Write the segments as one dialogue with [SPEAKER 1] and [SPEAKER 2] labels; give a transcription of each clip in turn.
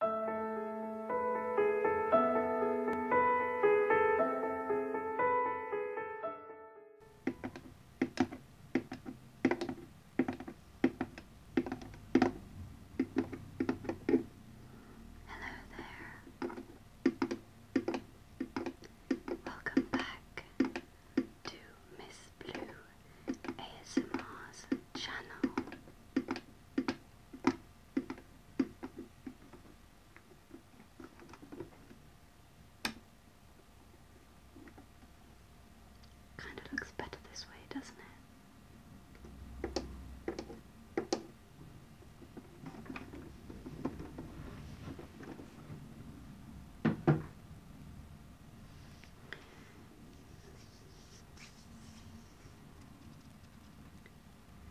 [SPEAKER 1] Hello there. Welcome back to Miss Blue ASMR's channel. Kind of looks better this way, doesn't it?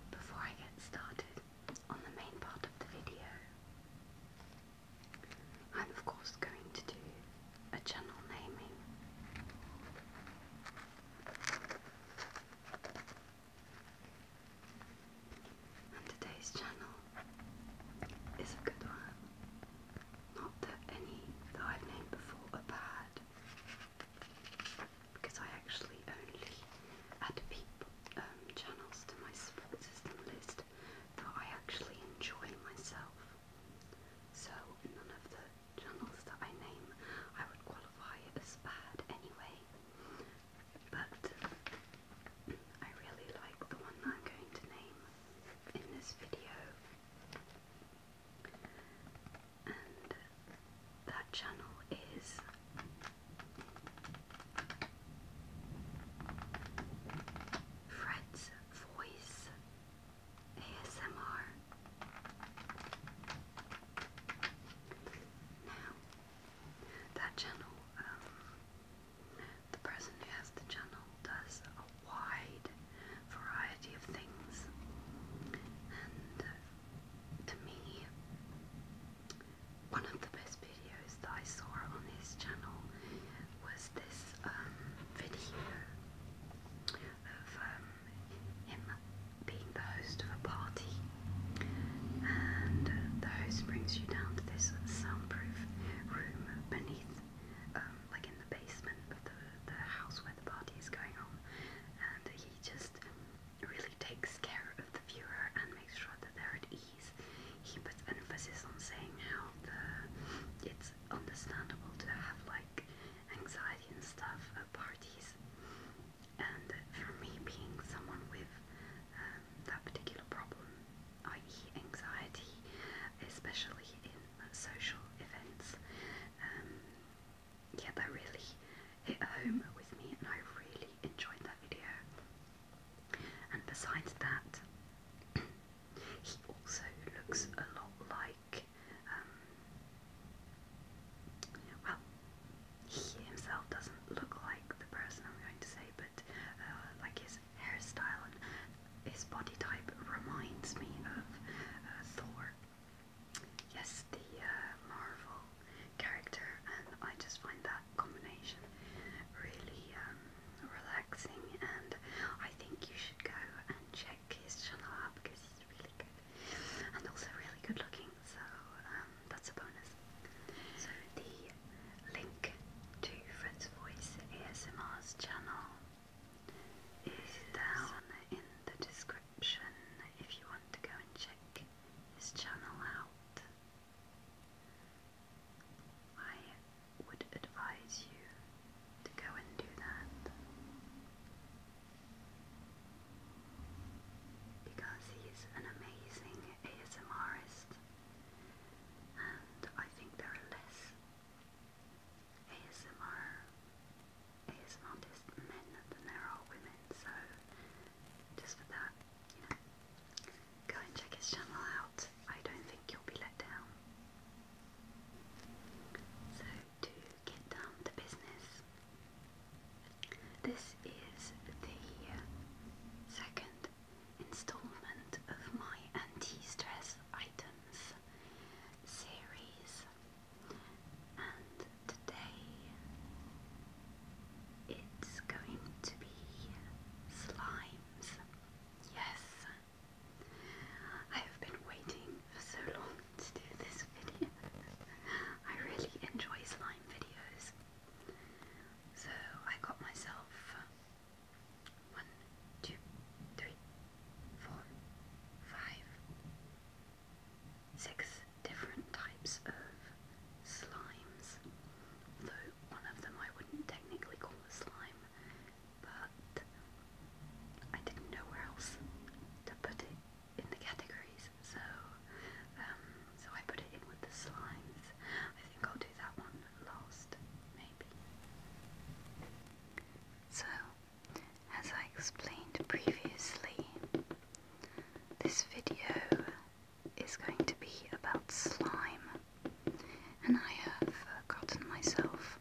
[SPEAKER 1] Before I get started on the main part of the video, I'm of course going to do a channel naming. And today's channel is a good one. Not that any that I've named before are bad, because I actually only add people, um, channels to my support system list that I actually enjoy myself. So none of the channels that I name I would qualify as bad anyway. But I really like the one I'm going to name in this video that channel is Fred's Voice ASMR. Now, that channel, um, the person who has the channel does wide variety of things. And uh, to me, one of the best videos that I saw on his channel was this um, video of um, him being the host of a party, and uh, the host brings you down to this soundproof room beneath, um, like in the basement, the, the house where the party is going on, and he just really takes care of the viewer and makes sure that they're at ease. He puts emphasis on saying how the, it's understandable to have like anxiety and stuff at parties, and for me, being someone with um, that particular problem, i.e., anxiety, especially in social events. Um, yeah, that really hit home with me and I really enjoyed that video. And besides that, he also looks a lot like, um, well, he himself doesn't look like the person I'm going to say, but uh, like his hairstyle and his body type reminds me of uh, Thor. Yes, the uh, Marvel character, and I just find that combination really um, relaxing. And I think you should go and check his channel out because he's really good and also really good looking. So um, that's a bonus. So the link to Fred's Voice ASMR's channel is down in the description if you want to go and check his channel out. I would advise you to go and do that because he's an amazing ASMRist and I think there are less ASMR is men than there are women, so just for that, you know, go and check his channel out. I don't think you'll be let down. So to get down to business, this is the second installment of my anti-stress items series, and today it's going to be slimes. Yes, I have been waiting for so long to do this video. I really enjoy slime videos. So I got myself one, two, three, four, five, six different types of slimes. Though one of them I wouldn't technically call a slime, but I didn't know where else to put it in the categories, so um, so I put it in with the slimes. I think I'll do that one last, maybe. So as I explained previously, this video is going to be about slime, and I have uh, gotten myself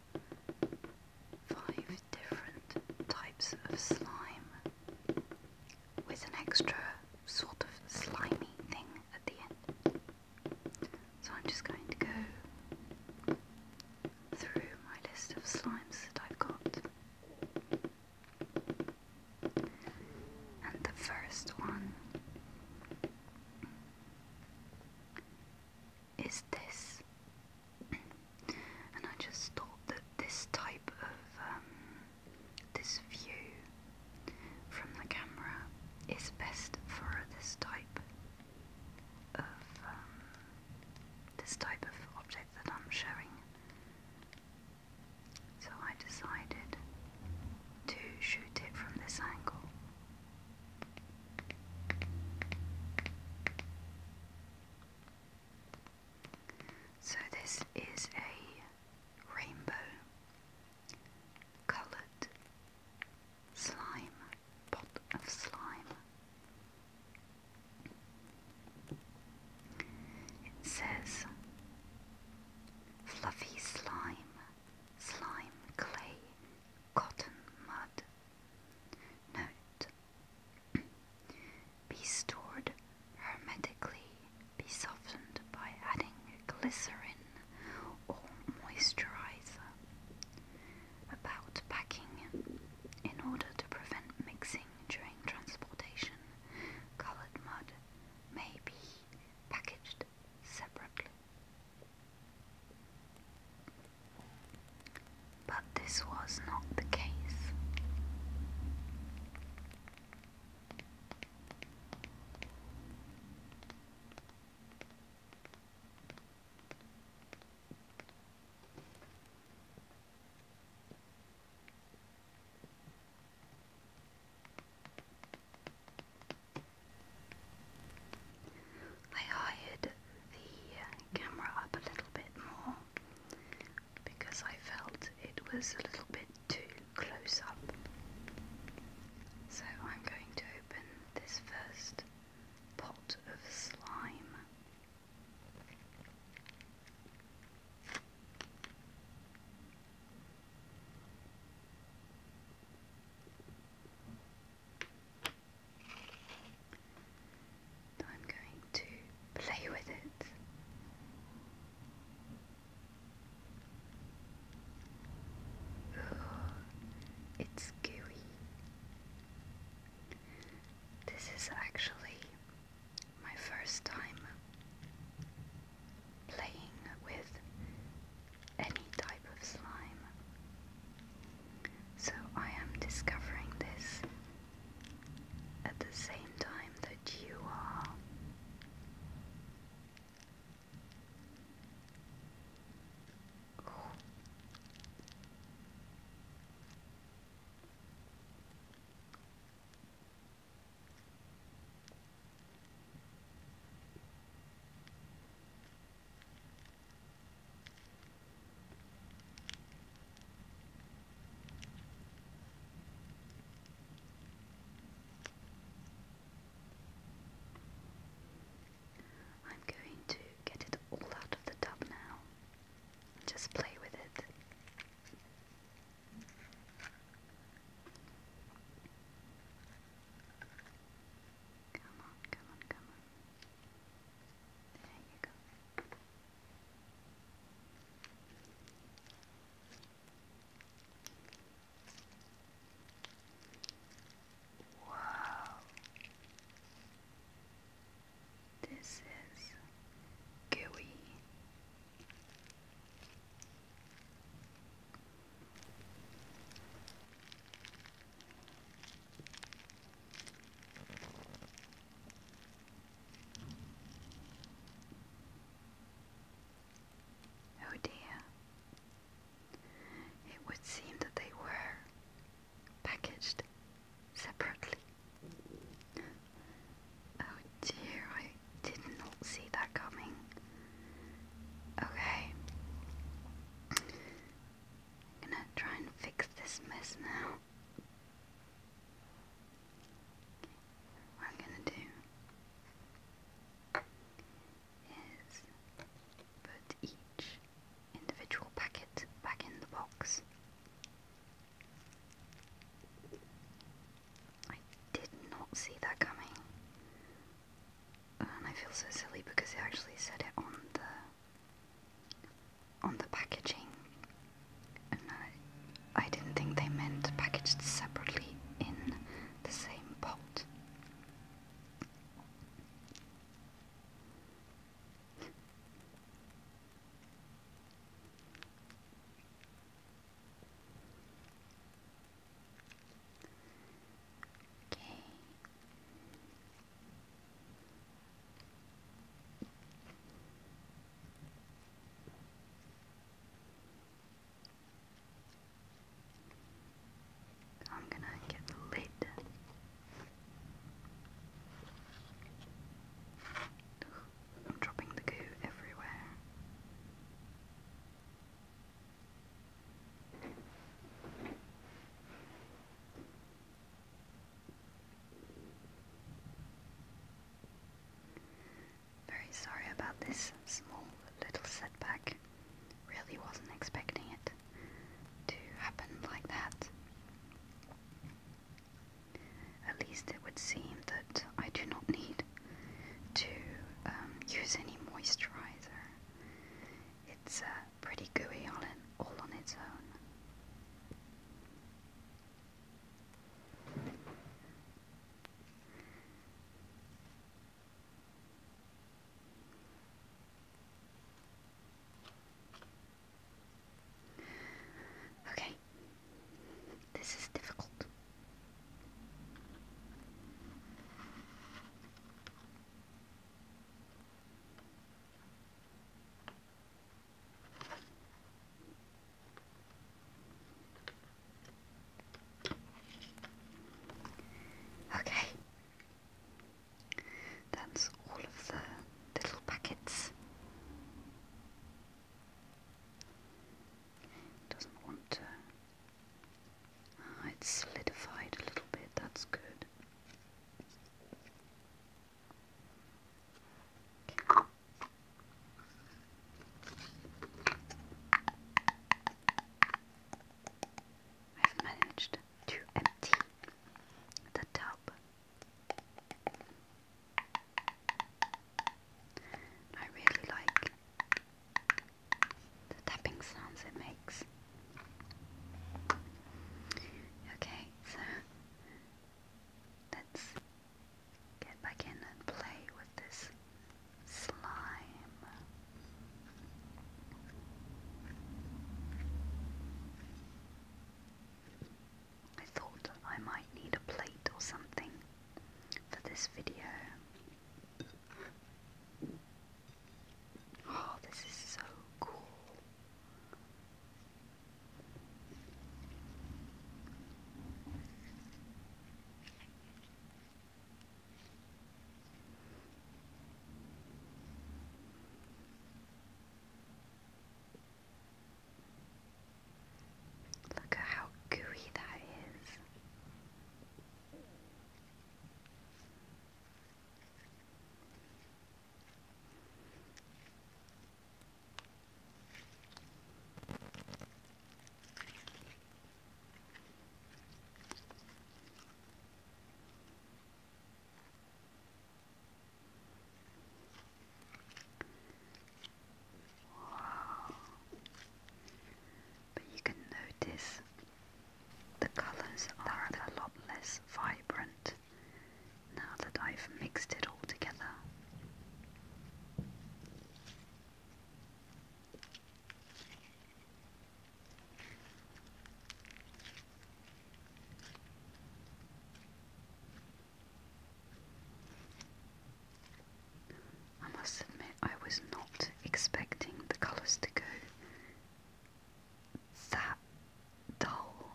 [SPEAKER 1] five different types of slime with an extra sort of slimy thing at the end. So I'm just going to go through my list of slimes that I've got. And the first one is this. and I just thought that this type of um, this view from the camera is best for this type of um, this type of object that I'm showing. So I decided to shoot it from this angle. So this is a rainbow coloured slime pot of slime. It says fluffy slime, slime clay, cotton mud. Note Be stored hermetically, be softened by adding glycerin or moisturizer about packing in order to prevent mixing during transportation. Colored mud may be packaged separately. But this was not the case. I hired the camera up a little bit more because I felt it was a little bit too close up. So I'm going to open this first pot of slime I'm going to play with it. it's gooey. This is actually my first time playing with any type of slime. So I am discovering this at the same time that you are. I'm going to get it all out of the tub now. Just play with it. Come on, come on, come on. There you go. Wow. This is gooey. Oh dear. It would seem that they were packaged separately. Oh dear, I did not see that coming. Okay. I'm gonna try and fix this mess now. What I'm gonna do is put each individual packet back in the box. I did not see that coming. And I feel so silly because it actually said it on the on the packaging. And I, I didn't think they meant packaged separately in the same pot. Okay. I'm gonna get the lid I'm dropping the goo everywhere. Very sorry about this small little setback. Really wasn't expecting it to happen like that. At least it would seem that I do not need to um, use any moisturizer. It's uh, pretty gooey on it all on its own. Okay, this is difficult. Okay. That's all of the little packets. doesn't want to. Ah, it's solidified a little bit, that's good. I've managed to empty the tub I really like the tapping sounds it makes. Okay, so let's get back in and play with this slime. I thought I might need a plate or something for this video. Oh, this is so cool. Look at how gooey that is. But you can notice the colors are a lot less vibrant now that I've mixed it all together. I must admit, I was not expecting the colours to go that dull.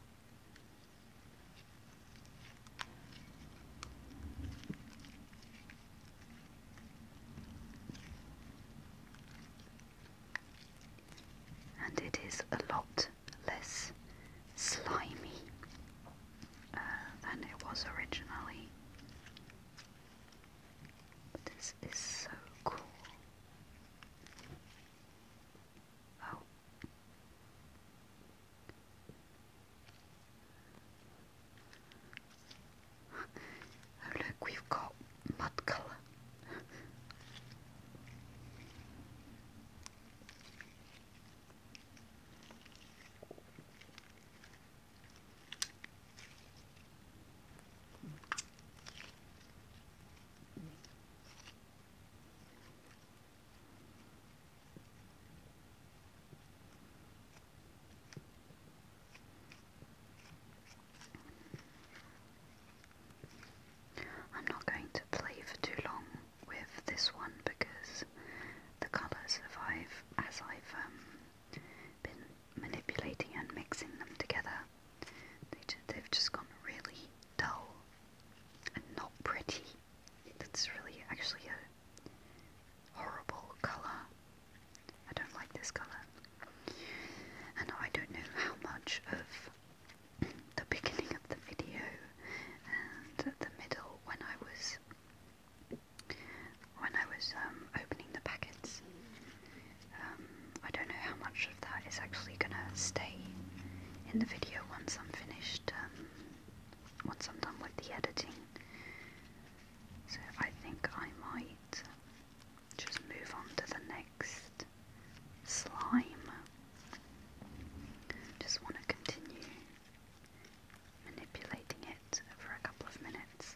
[SPEAKER 1] And it is a lot less slimy uh, than it was originally. this is so cool. oh, oh look, we've got mud colour. I'm not going to play for too long with this one because the colours as I've um, been manipulating and mixing them together, they they've just gone really dull and not pretty. That's really actually a horrible colour. I don't like this colour, and I don't know how much of the beginning of the video and the middle when I was when I was um, opening the packets. Um, I don't know how much of that is actually going to stay in the video once I'm finished, um, once I'm done with the editing. So I think I might just move on to the next slime. Just want to continue manipulating it for a couple of minutes.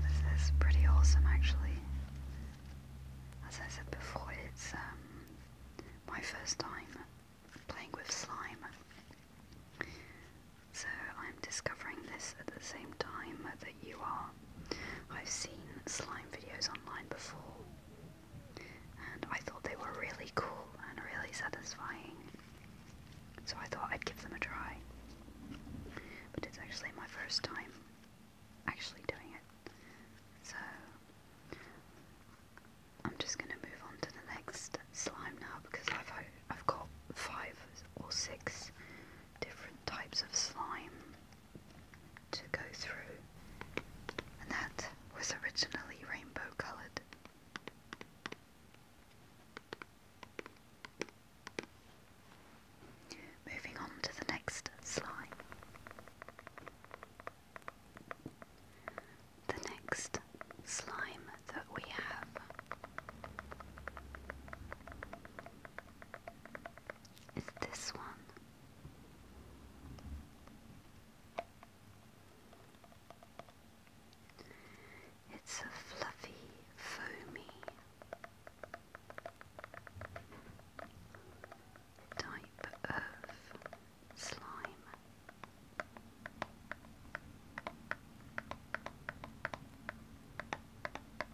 [SPEAKER 1] This is pretty awesome actually. As I said before, it's um, my first time playing with slime. So I'm discovering this at the same time that you are. I've seen slime videos online before, and I thought they were really cool and really satisfying, so I thought I'd give them a try. But it's actually my first time actually doing it, so I'm just going to move on to the next slime now because I've, I've got five or six different types of slime to go through, and that was originally rainbow coloured. Moving on to the next slime. The next slime that we have is this one. It's a fluffy, foamy type of slime.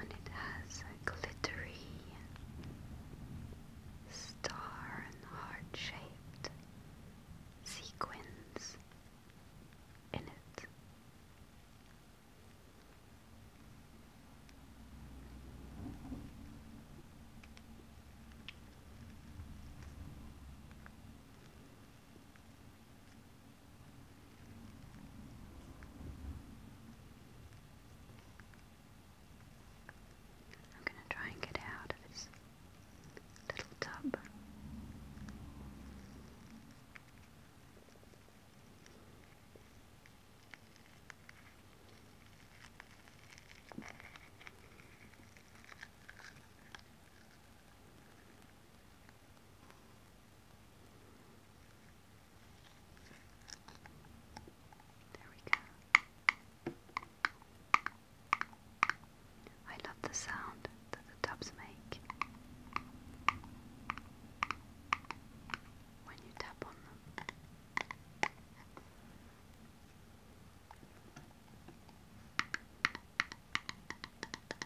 [SPEAKER 1] And it has glittery star and heart shaped sequins in it. I'm going to try and get out of its little tub. There we go. I love the sound that the tubs make when you tap on them.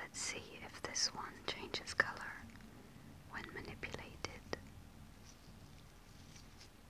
[SPEAKER 1] Let's see if this one changes color when manipulated.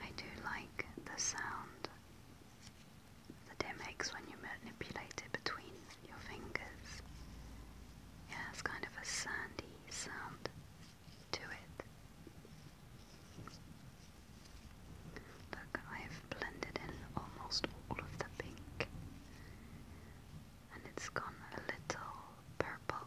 [SPEAKER 1] I do like the sound that it makes when you manipulate it between your fingers. It has kind of a sandy sound to it. Look, I've blended in almost all of the pink and it's gone a little purple.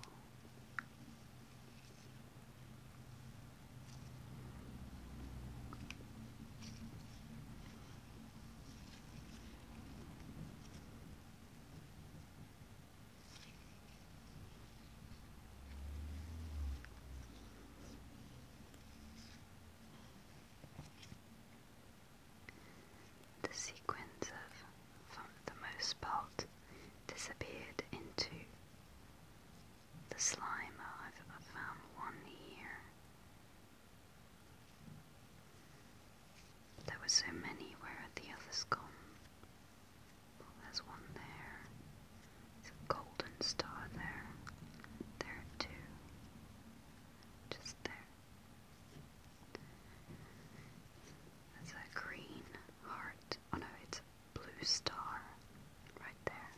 [SPEAKER 1] The sequins of for the most part, disappeared into the slime. I've, I've found one here there were so many, where are the others gone? there's one there. There's a golden star there. There are Just there. There's a green heart. Oh no, it's a blue star. Right there.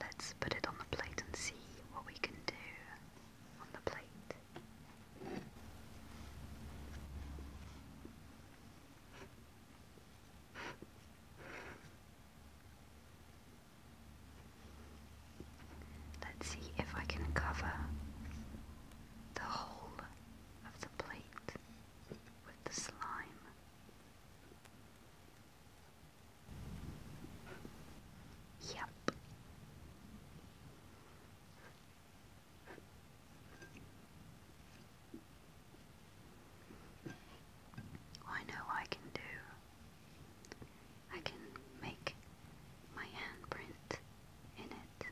[SPEAKER 1] Let's put it on the plate and see what we can do on the plate. Let's see if I can cover the whole of the plate with the slime. Yep. Oh, I know I can do. I can make my handprint in it.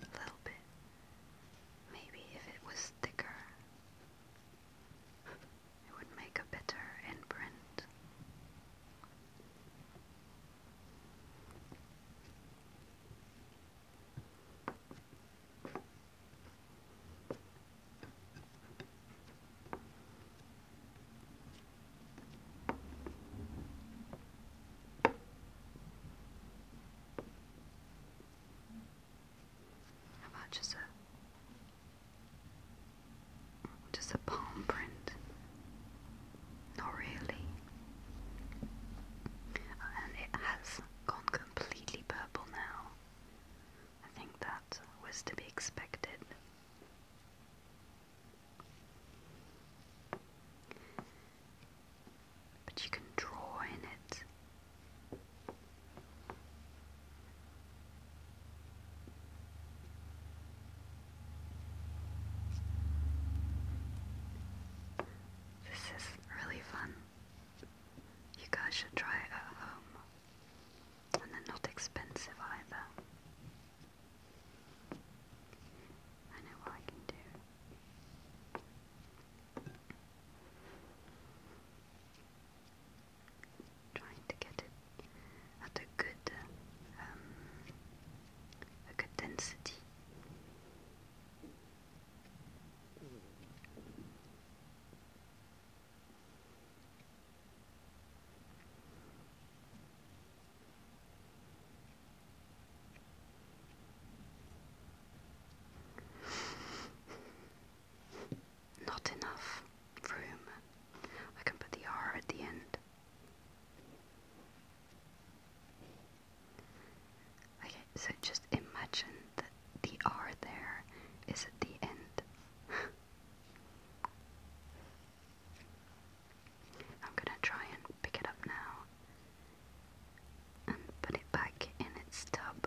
[SPEAKER 1] A little bit. Maybe if it was thicker, it would make a better imprint. How about just a just a palm print? Not really. Uh, and it has gone completely purple now. I think that was to be expected. But you can draw in it. This is really fun. You guys should try it at home. And they're not expensive either. I know what I can do. Trying to get it at a good, um, a good density. Not enough room. I can put the R at the end. Okay, so just imagine that the R there is at the end. I'm gonna try and pick it up now and put it back in its tub.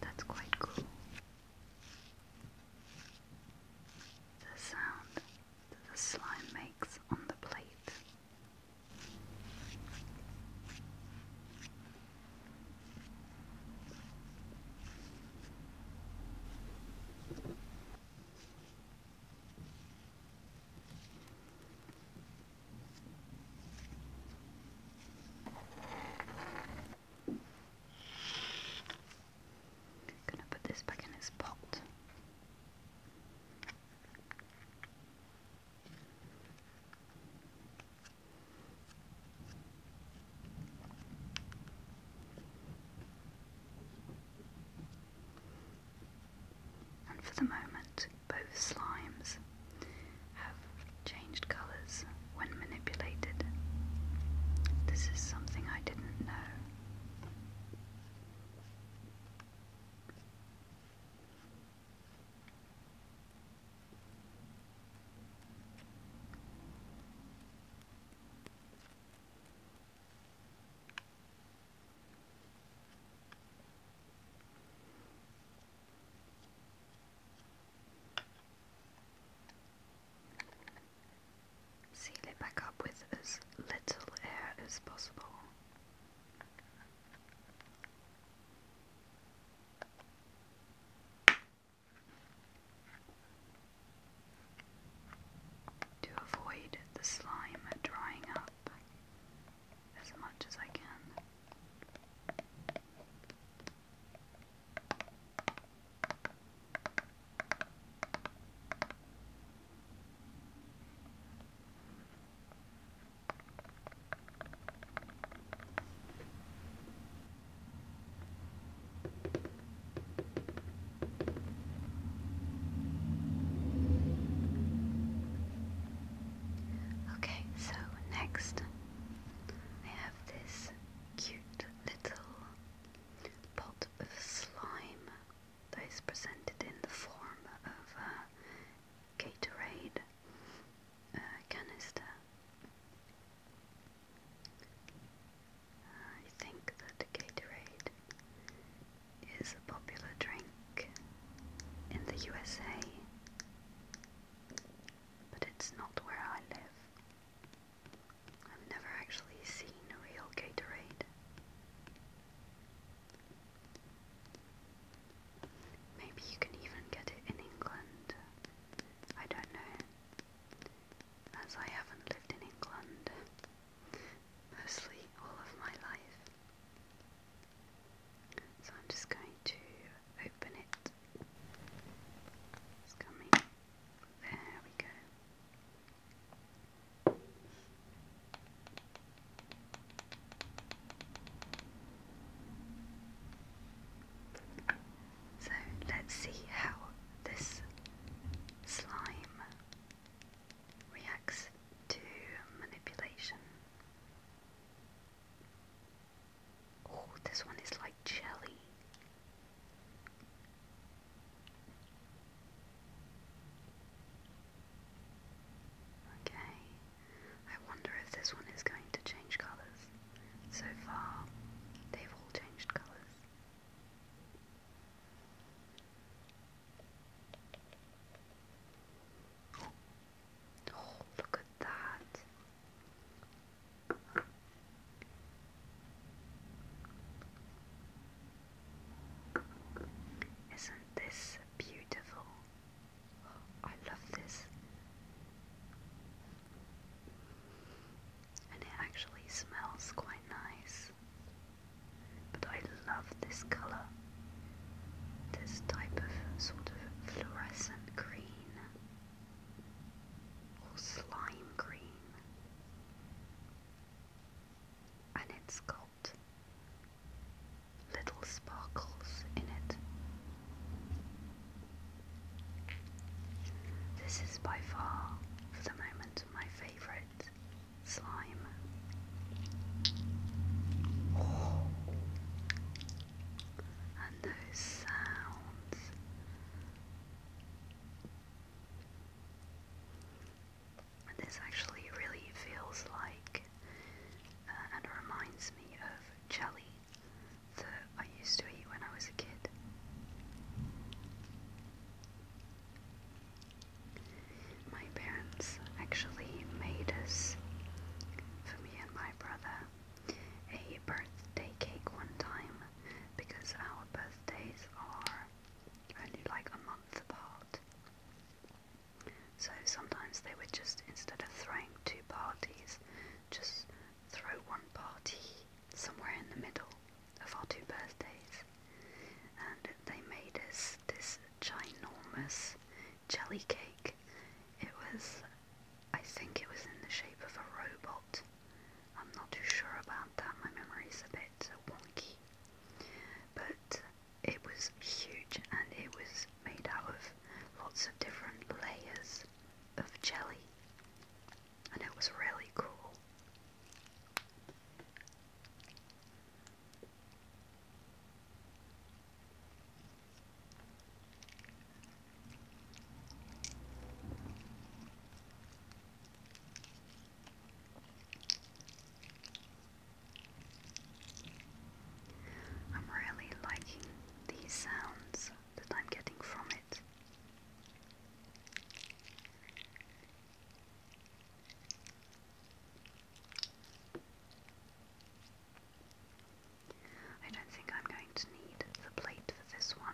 [SPEAKER 1] That's quite cool. The sound that the slime makes on the plate. Gonna put this back in its pot. And for the moment, both slimes have changed colours when manipulated. This is something I didn't know. Seal it back up with as little air as possible. To avoid the slime drying up, as much as I can. Okay, so next I have this cute little pot of slime that is presented in the form of a Gatorade canister. I think that Gatorade is a popular drink in the USA but it's not where I live. I've never actually seen a real Gatorade. Maybe you can even get it in England. I don't know. As I haven't lived in England mostly all of my life. So I'm just going to open it. It's coming. There we go. So let's see how this slime reacts to manipulation. Oh, this one is like jelly. Okay, I wonder if this one is going to change colours. So far, they've all changed colours. Oh, look at that. Isn't this beautiful? I love this. And it actually smells quite nice. But I love this color this type of sort of fluorescent green or slime green. And it's got little sparkles in it. This is by far, for the moment, my favourite slime and those sounds. this actually really feels like uh, and reminds me of jelly that I used to eat when I was a kid. My parents actually made us, for me and my brother, a birthday cake one time because our birthdays are only like a month apart. So sometimes they would just, instead of throwing two parties, just throw one party somewhere in the middle of our two birthdays. And they made us this ginormous jelly cake. It was, I think it was in the shape of a robot. I'm not too sure about that, my memory is a bit wonky. But it was huge and it was made out of lots of different layers of jelly. And it was really cool. I'm really liking these sounds that I'm getting from it. I don't think I'm going to need the plate for this one.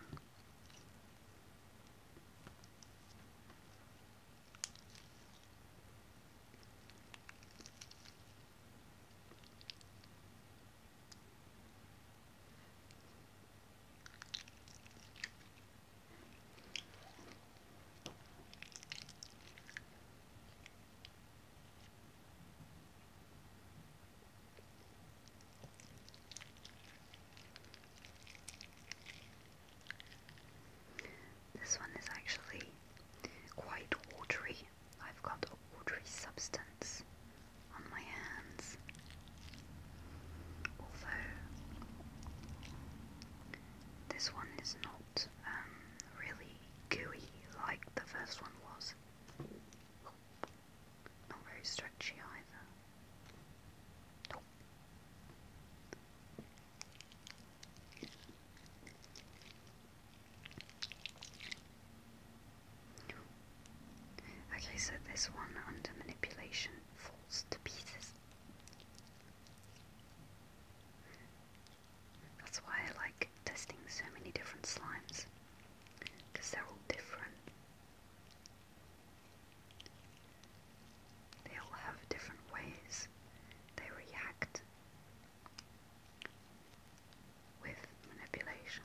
[SPEAKER 1] This one is actually quite watery. I've got a watery substance on my hands. Although this one is not um, really gooey like the first one was. Okay, so this one under manipulation falls to pieces. That's why I like testing so many different slimes, because they're all different. They all have different ways they react with manipulation.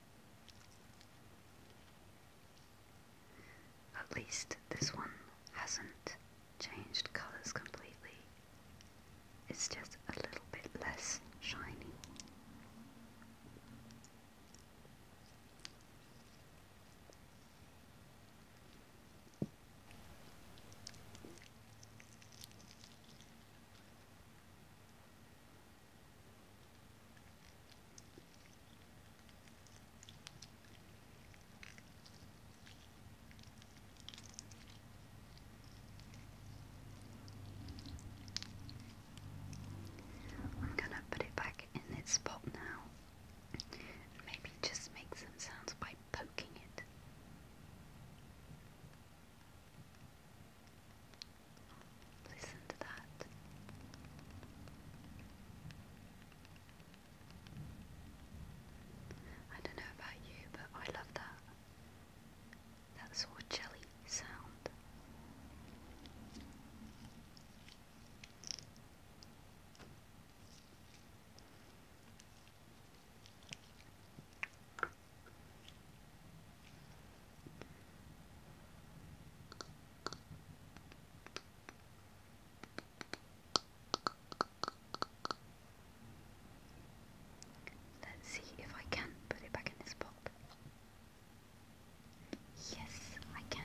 [SPEAKER 1] At least this one hasn't changed colours completely. It's just a little bit less shiny. I'm gonna put it back in its spot now. maybe just make some sounds by poking it. I don't know about you, but I love that. That sort of jelly sound. Let's see if I can put it back in this spot. Yes, I can.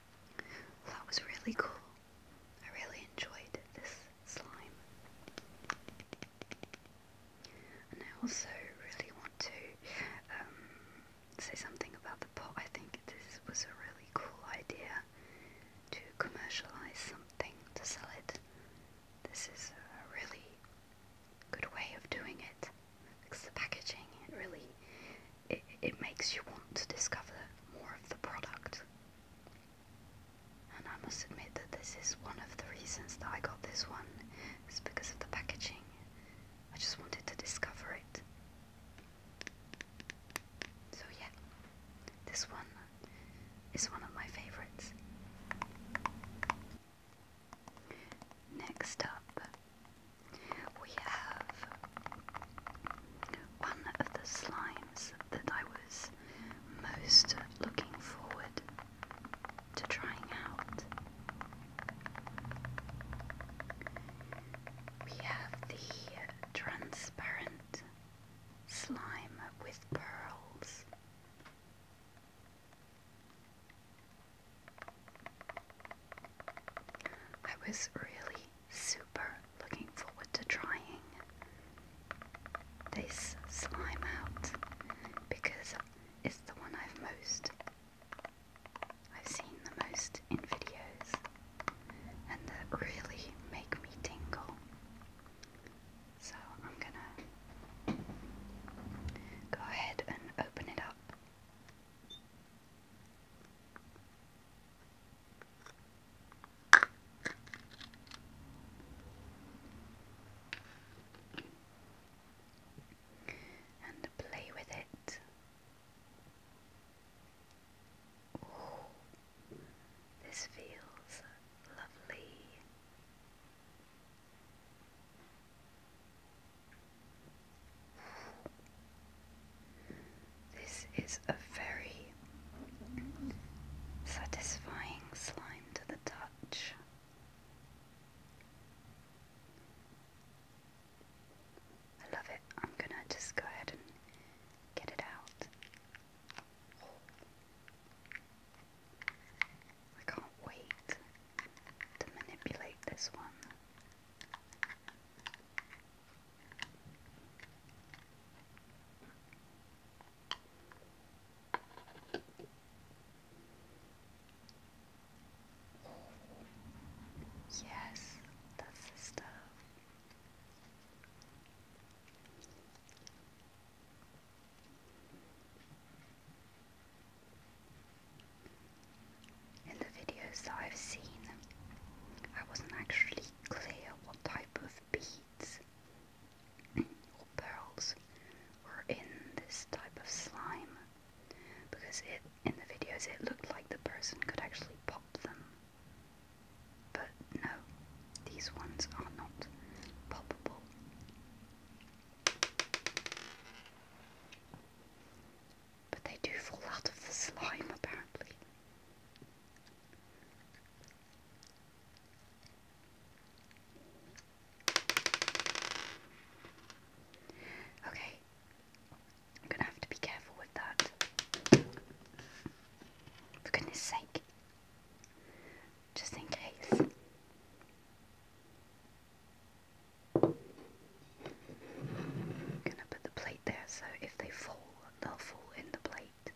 [SPEAKER 1] that was really cool. I really enjoyed this slime. I also really want to um, say something about the pot. I think this was a really cool idea to commercialize something, to sell it. This is a really good way of doing it It's the packaging it really it, it makes you want to discover more of the product. And I must admit that this is one of the reasons that I got this one, is because of the packaging. I just wanted to discover it. So yeah, this one is one of my favourites. Next up, we have one of the slimes that I was most looking forward to trying out. We have the transparent slime with pearls. I was really super looking forward to trying this slime out because it's the one I've most I've seen the most in videos and that really make me tingle. So I'm gonna go ahead and open it up and play with it. this feels lovely. This is a very satisfying slime to the touch. I love it. I'm gonna just go ahead and get it out. I can't wait to manipulate this one. Yes, the stuff. In the videos I've seen, I wasn't actually clear what type of beads or pearls were in this type of slime because it in the videos it looked like the person could actually pop them. But no, these ones are not poppable. But they do fall out of the slime apparently. Okay, I'm gonna have to be careful with that. For goodness sake, just in case. I'm gonna put the plate there so if they fall, they'll fall in the plate.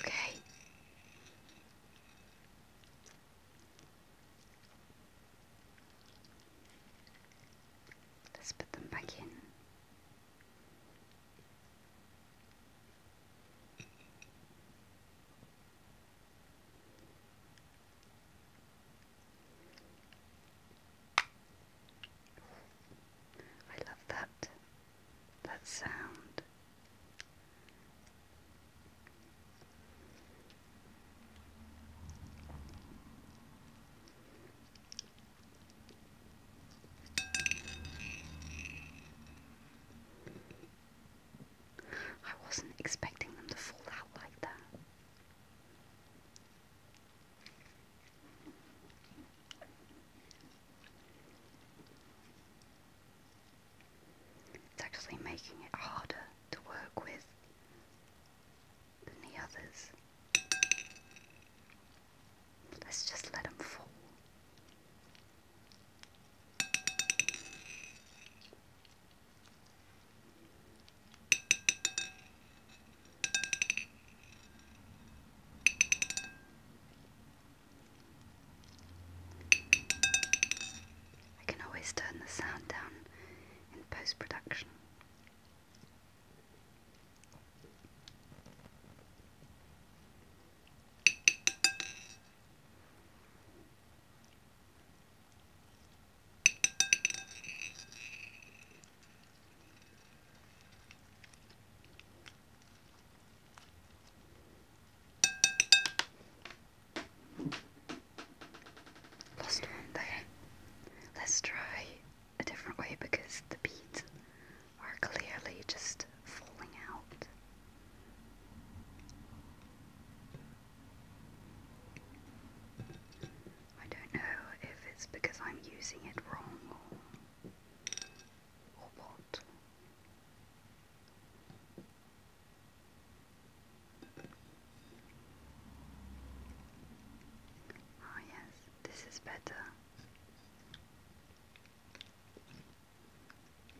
[SPEAKER 1] Okay. Let's put them back in. I love that that sound. I wasn't expecting them to fall out like that. It's actually making it harder to work with than the others. Let's just let them fall. I can always turn the sound down in post production. Lost one there. Let's try a different way because the beads are clearly just falling out. I don't know if it's because I'm using it wrong or, what. oh, yes, this is better.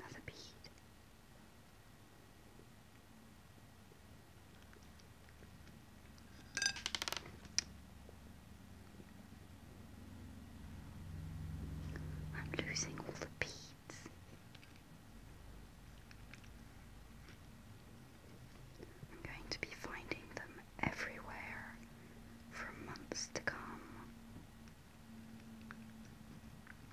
[SPEAKER 1] Another bead. I'm losing all the beads. I'm going to be finding them everywhere for months to come.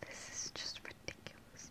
[SPEAKER 1] This is just ridiculous.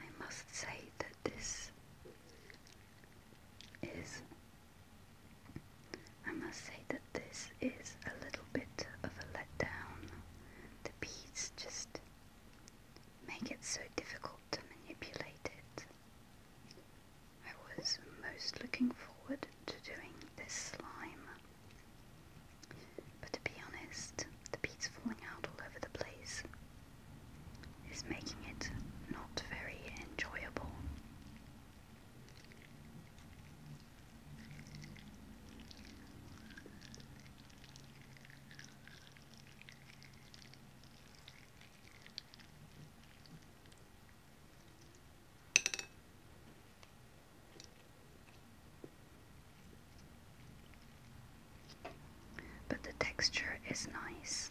[SPEAKER 1] I must say that this is I must say that this is a little bit of a letdown. The beads just make it so difficult to manipulate it. I was most looking forward to doing this slime. But to be honest, the beads falling out all over the place is making it not very enjoyable. But the texture is nice.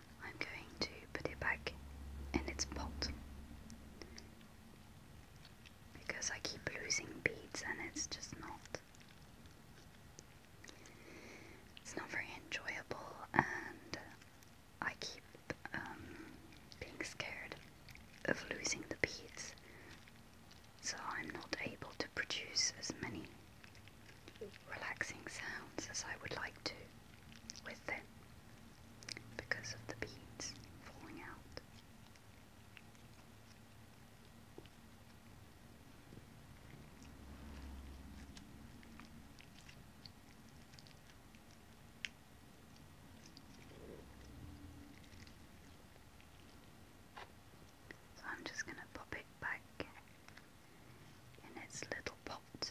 [SPEAKER 1] I'm going to put it back in its pot because I keep losing beads and it's just not it's not very enjoyable and I keep um, being scared of losing the beads so I'm not able to produce as many relaxing sounds as I would like to with it because of the beads falling out. So I'm just going to pop it back in its little pot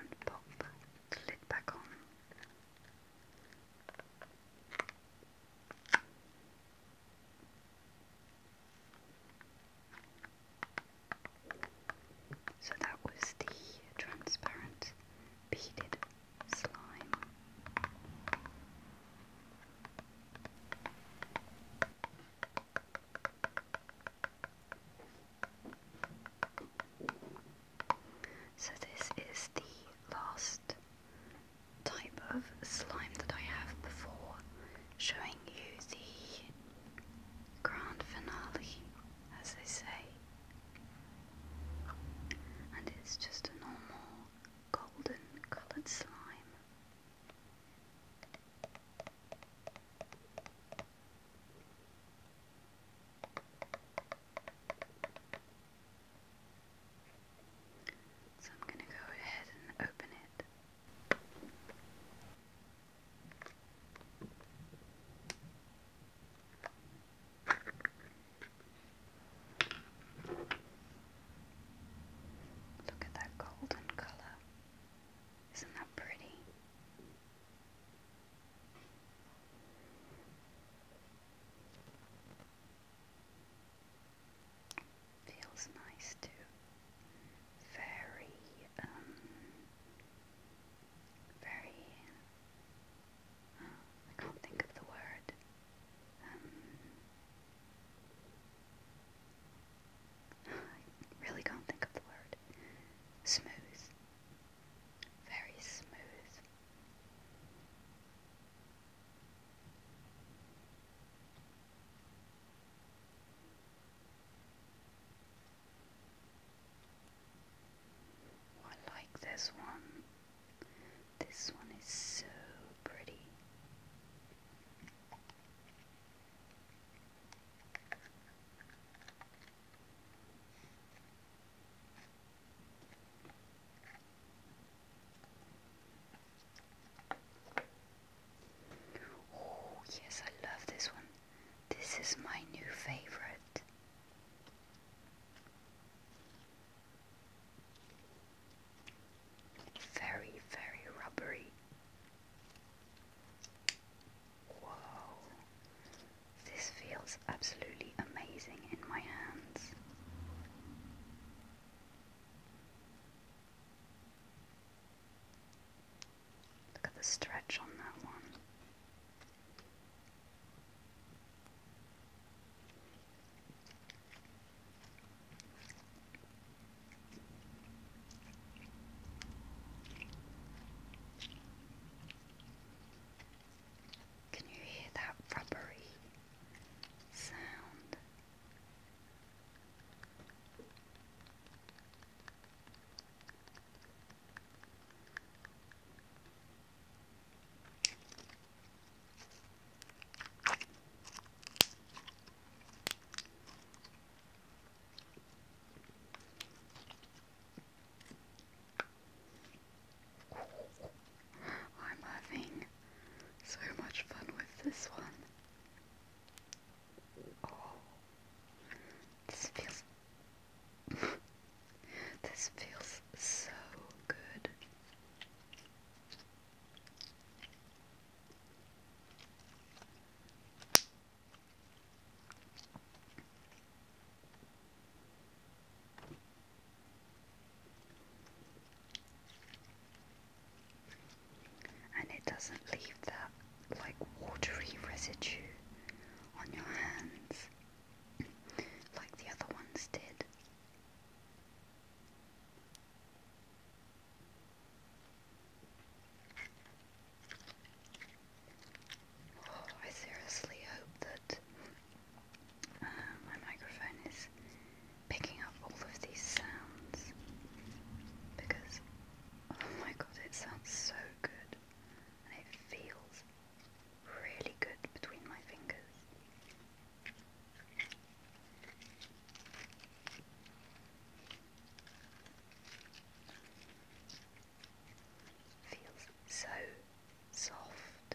[SPEAKER 1] And pop the lid back on. So that was the transparent beaded slime. So this is the last type of slime that I have before showing you the grand finale, as they say and it's just a normal golden coloured slime. So I'm going to go ahead and open it. Look at that golden color. Isn't that pretty? Feels nice too. Very, um, very I can't think of the word. Um, really can't think of the word. Smooth. Very smooth. I like this one. This one is so pretty. Oh, yes, I love this one. This is my new favorite. Very, very rubbery. Whoa, this feels absolutely amazing in my hands. Look at the stretch on that one. Can you hear that rubbery sound? I'm having so much fun with this one. Oh, this feels this feels so good. And it doesn't leave that like watery residue on your hands like the other ones did. Oh, I seriously hope that uh, my microphone is picking up all of these sounds because oh my god, it sounds so good and it feels really good between my fingers. Feels so soft.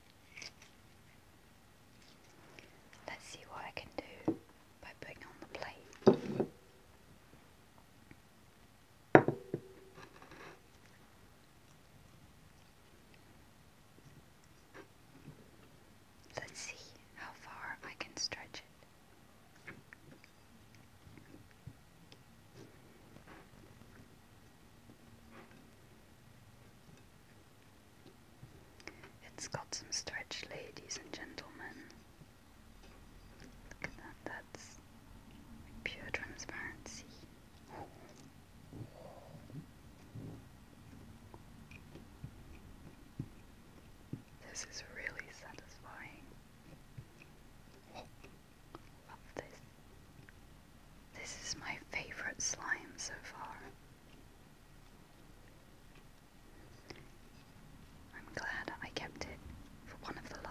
[SPEAKER 1] Let's see what I can do by putting on the plate. Let's see how far I can stretch it. It's got some stretch, ladies and gentlemen. Look at that, that's pure transparency. This is really satisfying. Love this. This is my favorite slime so far. I'm glad I kept it for one of the last.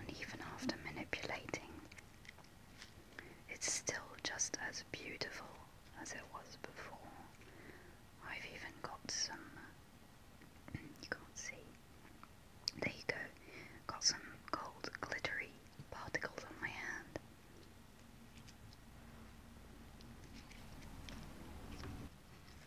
[SPEAKER 1] And even after manipulating, it's still just as beautiful as it was before. I've even got some, you can't see, there you go, got some gold glittery particles on my hand.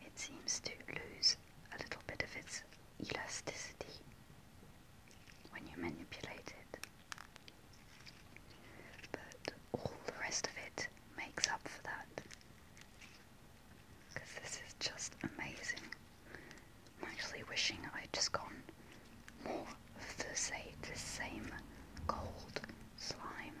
[SPEAKER 1] It seems to lose a little bit of its elasticity when you manipulate it. But all the rest of it makes up for that. Because this is just amazing. I'm actually wishing I'd just gone more of say, the same gold slime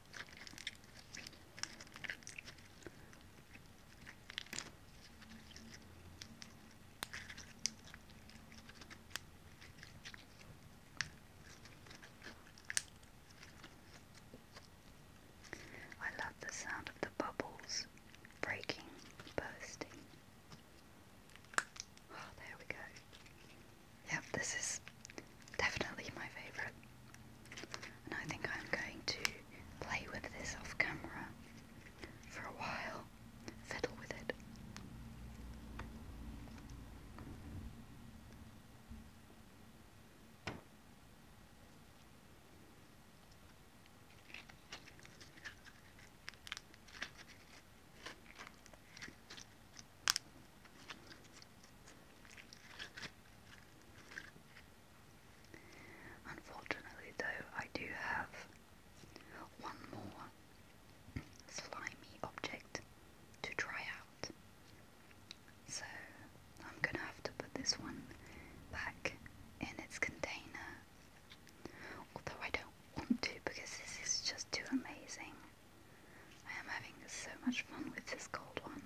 [SPEAKER 1] I love the sound of the bubbles breaking, bursting. Oh, there we go yeah, this is definitely my favourite. And I think I'm going to play with this off camera for a while, fiddle with it. Unfortunately, though, I do have one more slimy object to try out. So I'm going to have to put this one back in its container. Although I don't want to because this is just too amazing. I am having so much fun with this cold one.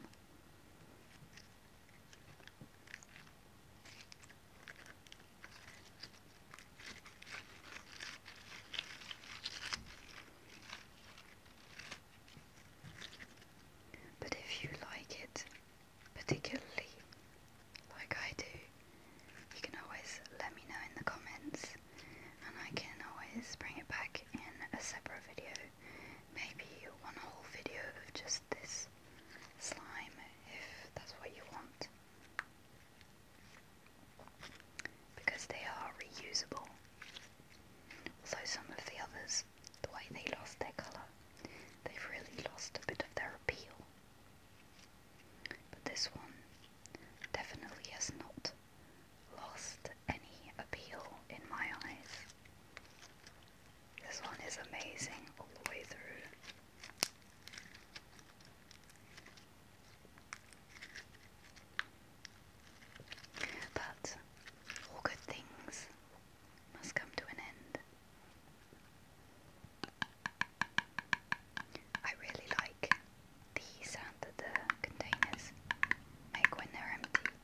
[SPEAKER 1] But if you like it particularly, like I do, you can always let me know in the comments and I can always bring it back in a separate video. Maybe one whole video of just this slime if that's what you want. Because they are reusable. Also some of the others, the way they lost their colour, they've really lost a bit of their appeal. But this one definitely has not lost any appeal in my eyes. This one is amazing all the way through. But all good things must come to an end. I really like the sound that the containers make when they're empty.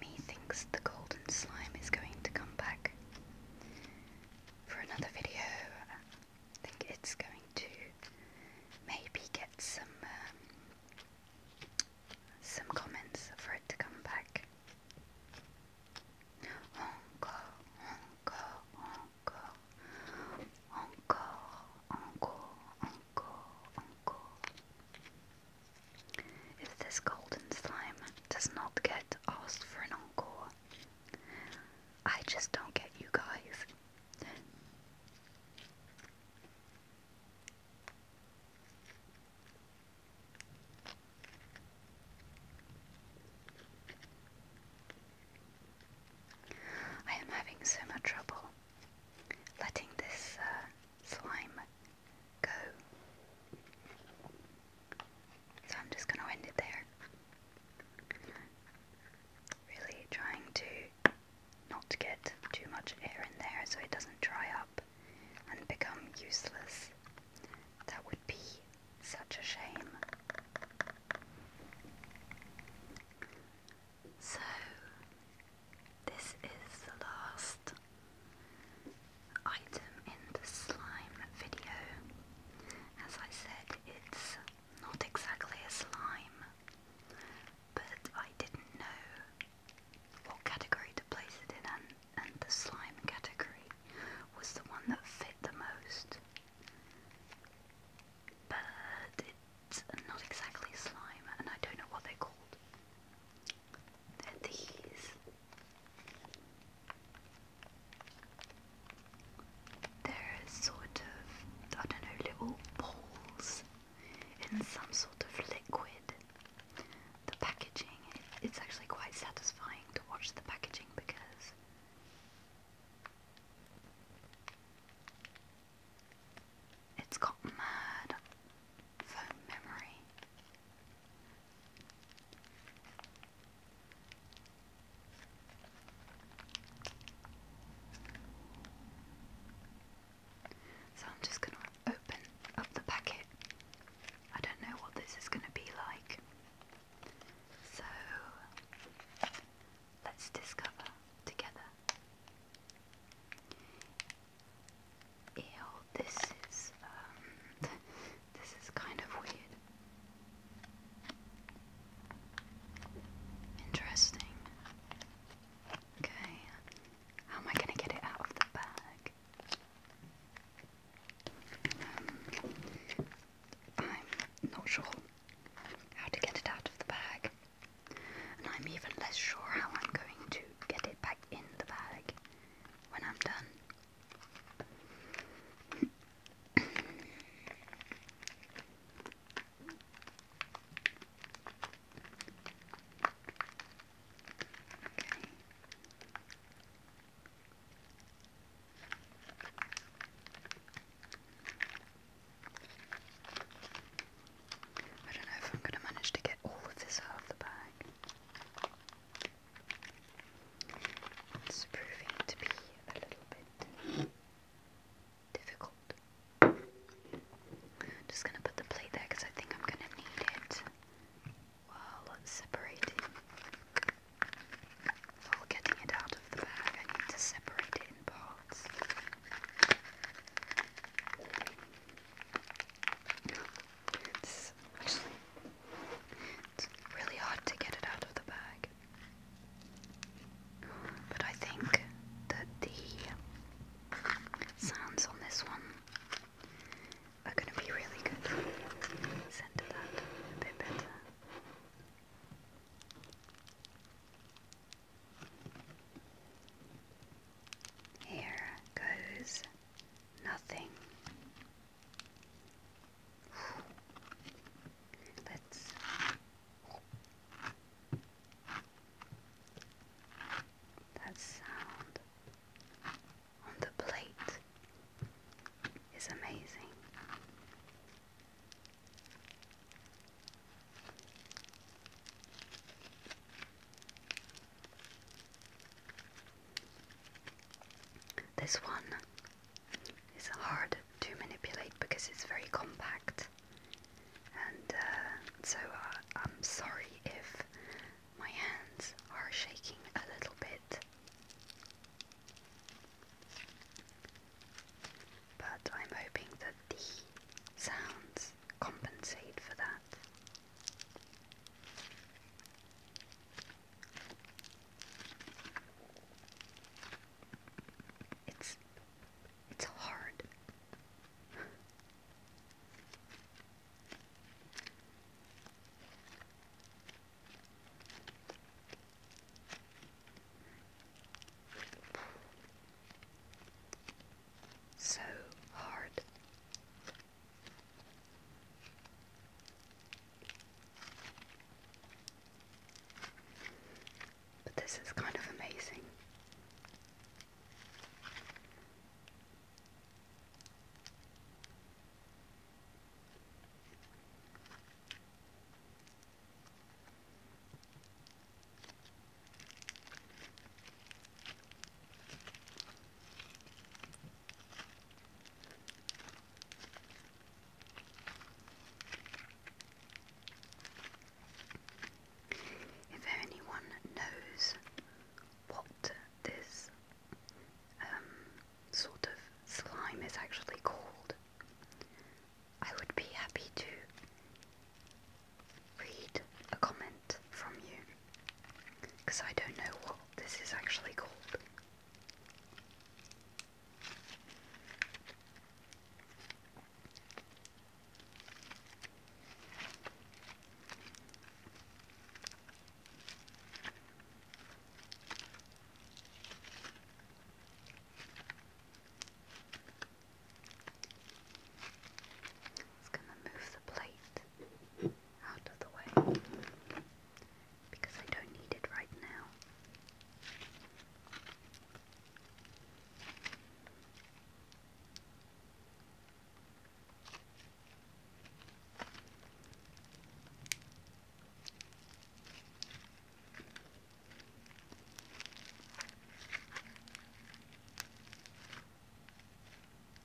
[SPEAKER 1] Methinks the golden slime is going to come back for another video. I think it's going to maybe get some um, some comments for it to come back. Encore, encore, encore, encore, encore, encore, encore. If this golden slime does not get asked for an encore, I just don't get you guys. I am having so much trouble letting this uh, slime go. So I'm just going to end it there. Really trying to not get too much air in there so it doesn't dry up and become useless. That would be such a shame. So, this is the last item in the slime video. As I said, it's not exactly a slime, but I didn't know what category to place it in, and, the slime category was the one that fit the most. But it's not exactly slime, and I don't know what they called. They're these. They're sort of, I don't know, little balls in some sort of liquid. The packaging, it, it's actually quite satisfying to watch the packaging because it's got mad phone memory. So I'm just going to open up the packet. I don't know what this is going to be like. So let's discover together. Ew, this is um this is kind of weird. Interesting. Okay. How am I gonna get it out of the bag? Um, I'm not sure how to get it out of the bag. And I'm even less sure how I'm going to get it back in the bag when I'm done. I don't know if I'm going to manage to get all of this out of the bag. It's proving to be a little bit difficult. I'm just gonna put the plate there because I think I'm gonna need it while separating. While getting it out of the bag, I need to separate it in parts. This actually really hard to get it out of the bag. But I think that the sounds on this one are going to be really good. Center that a bit better. Here goes nothing let that sound on the plate is amazing. This one is hard to manipulate because it's very compact, and uh, so uh, I'm sorry if my hands are shaking a little bit. But I'm hoping that the sounds compensate for that. It's it's hard. so hard. But this is kind of amazing. If anyone knows what this um, sort of slime is actually called, I would be happy to read a comment from you because I don't know what this is actually called. It's going to move the plate out of the way because I don't need it right now.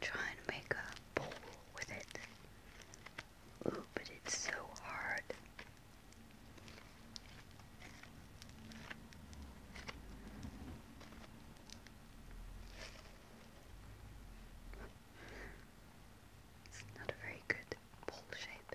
[SPEAKER 1] Try and make a bowl with it. Oh, but it's so hard. It's not a very good ball shape.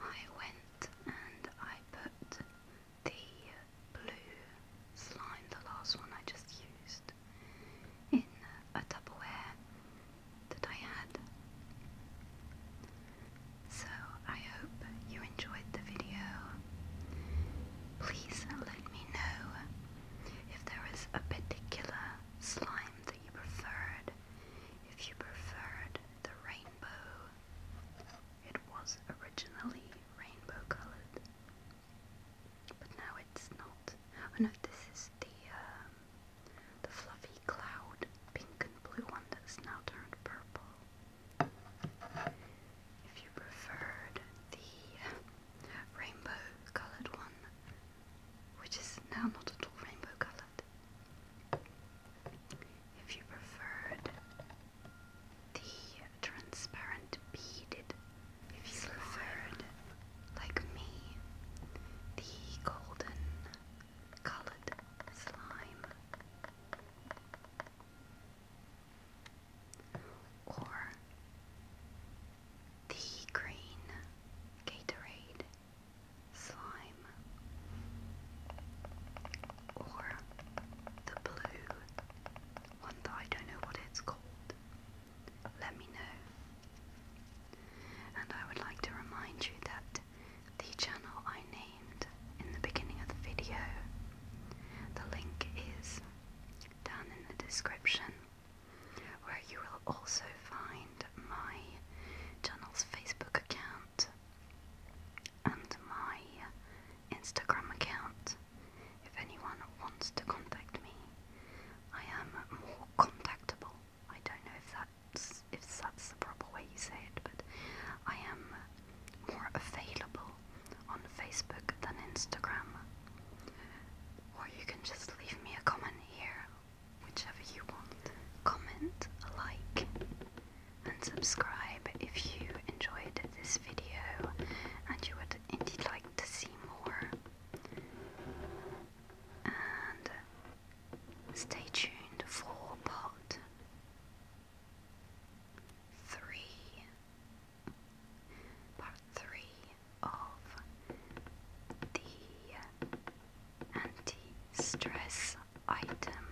[SPEAKER 1] I went and I put the blue slime, the last one I just used, in a Tupperware that I had. So I hope you enjoyed the video. Please let me know if there is a particular slime that you preferred, if you preferred the rainbow. It was originally rainbow colored but now it's not. Oh no, this is the um, the fluffy cloud, pink and blue one that's now turned purple. If you preferred the rainbow-colored one, which is now not at all rainbow-colored. If you preferred the transparent beaded if he's preferred, like me, the golden colored slime. Or the green Gatorade slime, or the blue one that I don't know what it's called, let me know. And I would like to remind you that the channel I named in the beginning of the video, the link is down in the description, where you will also find my channel's Facebook account and my Instagram account if anyone wants to contact me I am more contactable. I don't know if that's if that's the proper way you say it, but I am more available on Facebook than Instagram. Or you can just leave me a comment here, whichever you want. Comment, like, and subscribe if you enjoyed this video and you would indeed like to see more and stay tuned for part three, part three of the anti-stress item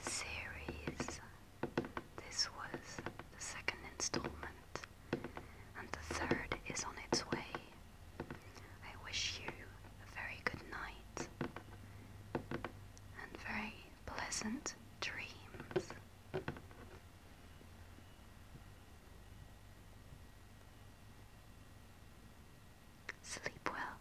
[SPEAKER 1] series. This was the second installment and the third is on its way. I wish you a very good night and very pleasant dreams. Sleep well.